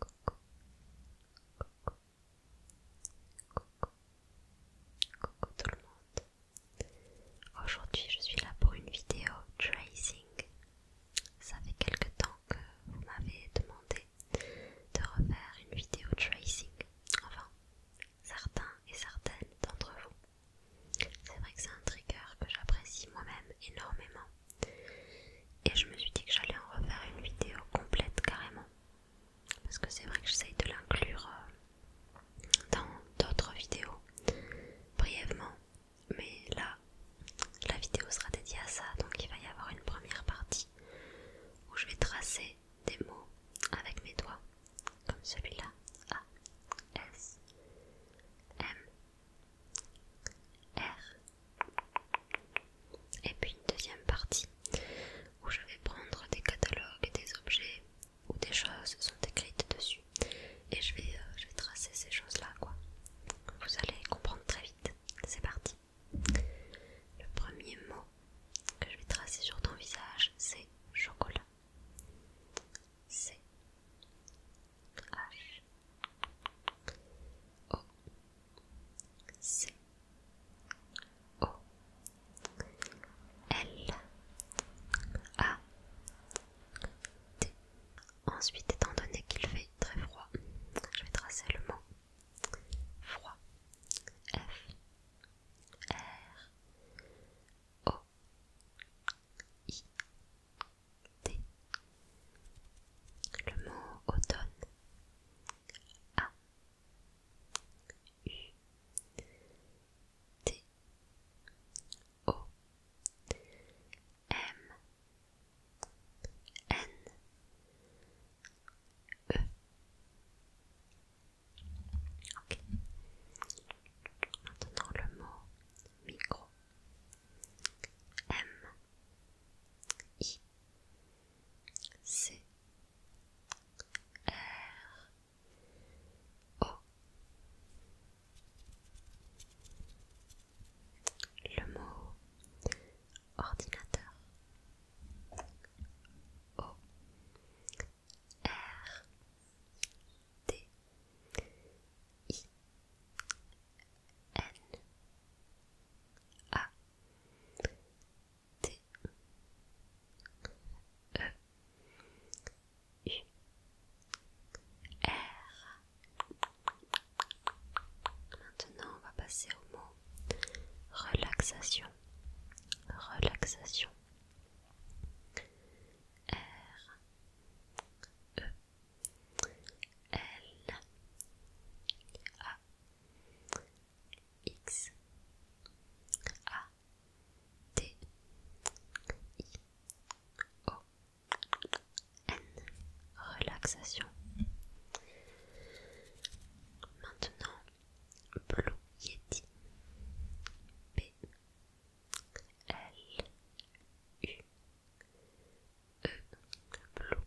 Coucou. Coucou. Coucou. Coucou tout le monde. Aujourd'hui, je suis là pour une vidéo tracing. Ça fait quelque temps que vous m'avez demandé de refaire une vidéo tracing. Enfin, certains et certaines d'entre vous. C'est vrai que c'est un trigger que j'apprécie moi-même énormément. Et je me suis dit que j'allais en refaire une vidéo complète carrément. Parce que c'est vrai que j'essaye de l'inclure euh, dans d'autres vidéos brièvement. Mais là, la vidéo sera dédiée à ça. Donc il va y avoir une première partie où je vais tracer des mots avec mes doigts. Comme celui-là. A, S, M, R. Et puis une deuxième partie où je vais prendre des catalogues, et des objets où des choses sont écrites dessus et je vais, euh, je vais tracer ces choses-là quoi. Vous allez comprendre très vite. C'est parti. Le premier mot que je vais tracer sur ton visage, c'est chocolat. C H O C O L A T Ensuite étant donné qu'il fait très froid, je vais tracer le mot froid F R O I le mot automne. A. U. T. O. M. N. E. Ok. Maintenant le mot micro. M. I. C R O Le mot ordinateur O R D I N a T E U R Maintenant, on va passer au mot relaxation. Relaxation. R E L A X A T I O N relaxation maintenant Blue Yeti B L U E Blue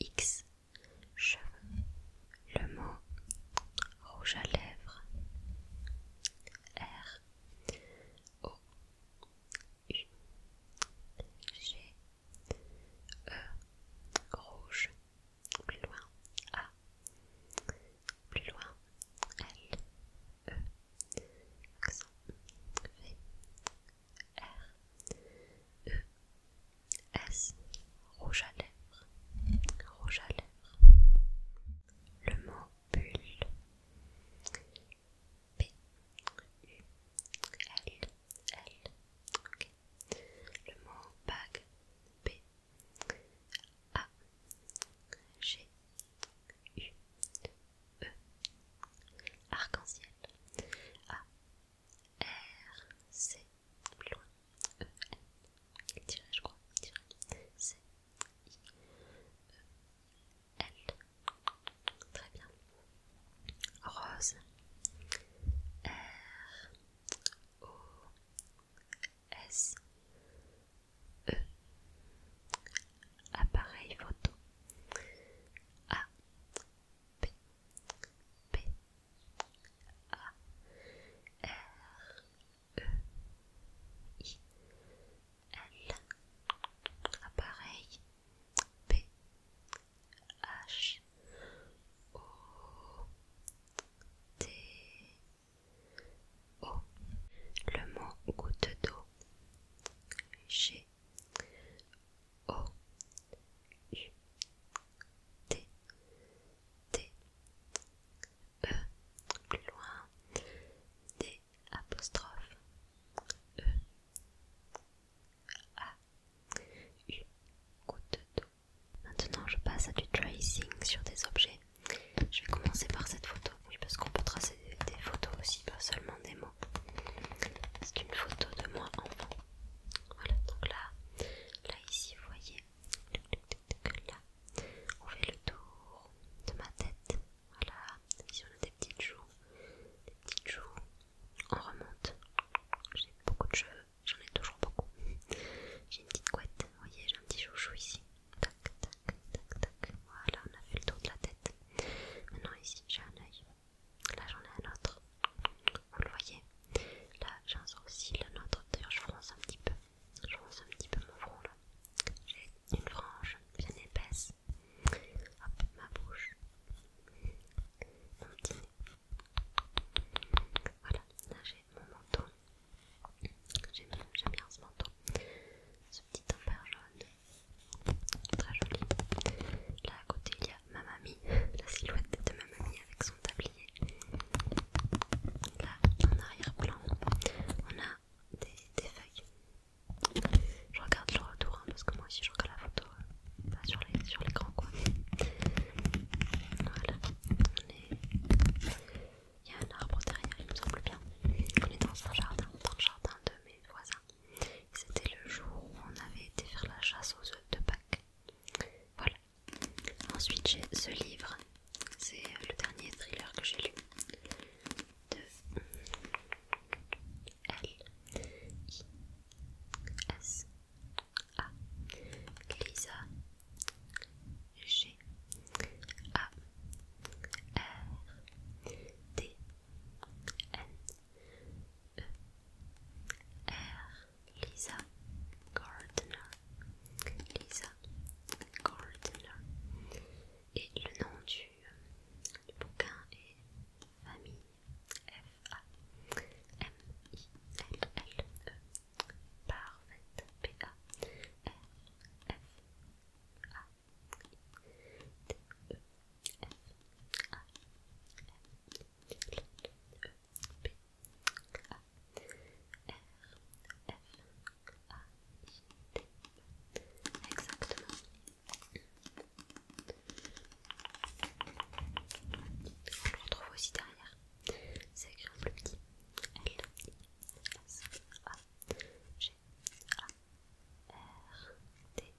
X cheveux. Le mot rouge à lèvres R O U G E rouge plus loin A plus loin L E accent V R E S rouge à lèvres rouge à lèvres le mot bulle B U L L le mot bague B A G U E arc-en-ciel A R C plus loin E N dirait je crois dirait C I E L très bien rose R O S E appareil photo A P P A R E I L appareil P H O T O le mot goutte d'eau O U T T E plus loin D apostrophe E A U Maintenant je passe à du tracing sur des objets. Je vais commencer par cette photo, oui parce qu'on peut tracer des photos aussi, pas seulement des mots. C'est une photo de moi enfant. Voilà, donc là, là ici, vous voyez on fait le tour de ma tête. Voilà, ici on a des petites joues, des petites joues. On remonte. J'ai beaucoup de cheveux, j'en ai toujours beaucoup. J'ai une petite couette, vous voyez, j'ai un petit chouchou ici. Tac, tac, tac, tac. Voilà, on a fait le tour de la tête. Maintenant ici, j'ai un œil. Là j'en ai un autre, vous le voyez. Là j'ai un sourcil, un autre. D'ailleurs je fronce un petit peu. Je fronce un petit peu mon front là. J'ai une frange bien épaisse. Hop, ma bouche. Mon petit nez. Voilà, là j'ai mon menton. J'aime bien ce menton. Ce petit timbre jaune très joli. Là à côté il y a ma mamie, la silhouette de ma mamie avec son tablier. Là en arrière-plan on a des, feuilles. Je regarde le retour hein, parce que moi aussi je regarde la photo euh, sur sur l'écran quoi. Voilà, on est... il y a un arbre derrière il me semble bien. On est dans un jardin, dans le jardin de mes voisins. C'était le jour où on avait été faire la chasse aux œufs de Pâques. Voilà. Ensuite, j'ai ce livre. C'est le dernier thriller que j'ai lu. De L. I. S. A. Lisa. G. A. R. D. N. R. E, Lisa Gardner. Lisa Gardner. Et le nom du, bouquin est Famille. F-A-M-I-L-L-E. Parfait. p a r f a t e F-A-M-I-L-L-E-P-A-R-F-A-I-T Exactement. On le retrouve aussi derrière. C'est écrit en plus petit. L S A G A R D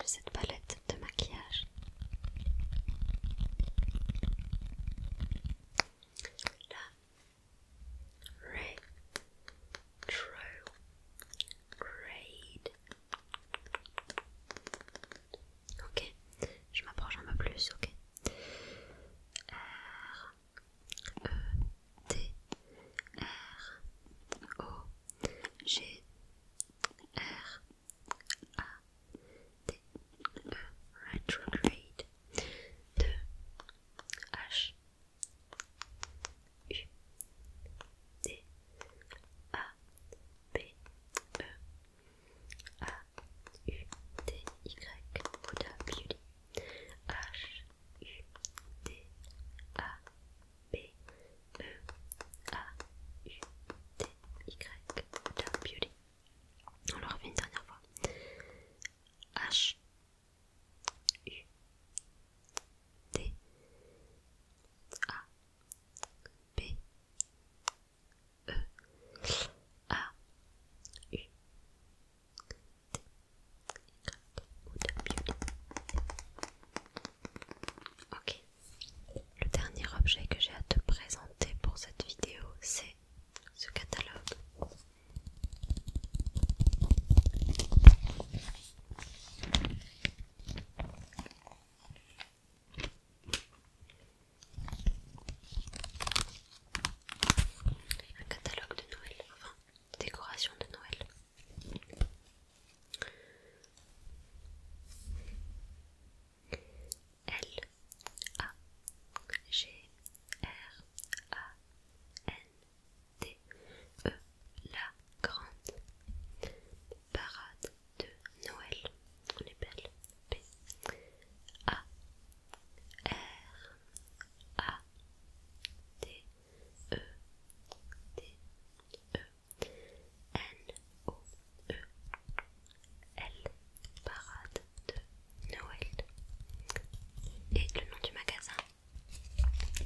J'ai cette palette de maquillage. Ray True Grade. Ok, je m'approche un peu plus, ok. Euh, E T R O G R A T E retrograde de H U D A B E A U T Y Buddha Beauty H U D A B E A U D Y On le une dernière fois. H U D A B E A U Ok, le dernier objet que j'ai à te présenter pour cette vidéo, c'est ce catalogue. Un catalogue de Noël, enfin décoration de Noël. L A G R A N D E La Grande Parade de Noël. On belles P A R A D e. E D E N O E L Parade de Noël et le nom du magasin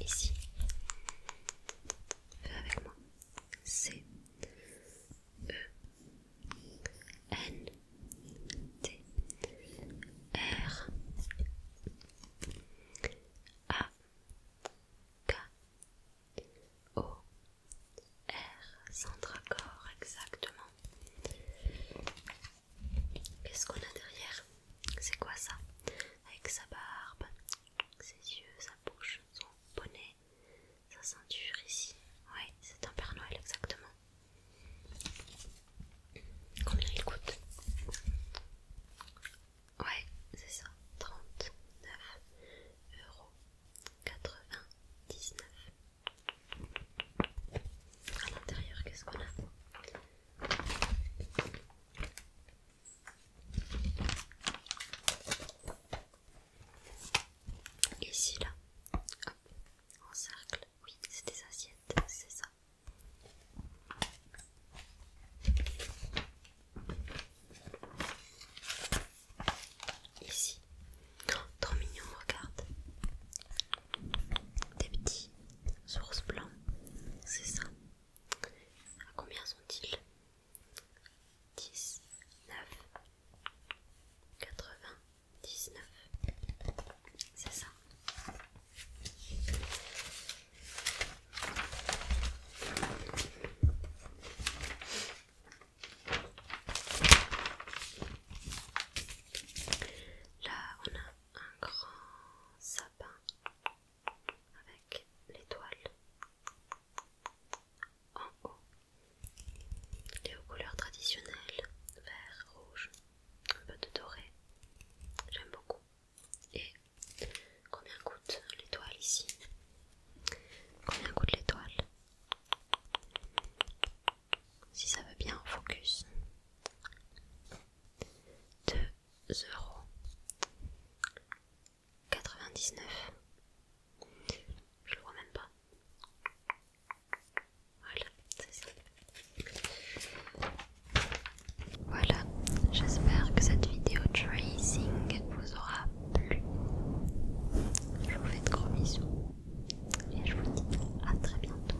ici Fais avec moi C E N T R a K O R centre accord exactement. Qu'est-ce qu'on a derrière C'est quoi ça Avec sa barbe, ses yeux, sa bouche, son bonnet, sa ceinture ici. Oui, c'est un Père Noël exactement. Combien il coûte Ouais, c'est ça. 39 euros 99. À l'intérieur, qu'est-ce qu'on a Ici, là, en cercle, oui, c'est des assiettes, c'est ça. Ici, tant trop mignon, regarde. Des petits sources blancs, c'est ça. À combien sont-ils 10, 9, 80, 19. C'est ça. Là, on a un grand sapin avec l'étoile en haut. et aux couleurs traditionnelles, vert, rouge, un peu de doré. J'aime beaucoup. Et combien coûte l'étoile ici Combien coûte l'étoile Si ça veut bien en focus. 2 euros 99. Je le vois même pas. Voilà, c'est ça. Voilà, j'espère que cette vidéo tracing vous aura plu. Je vous fais de gros bisous et je vous dis à très bientôt.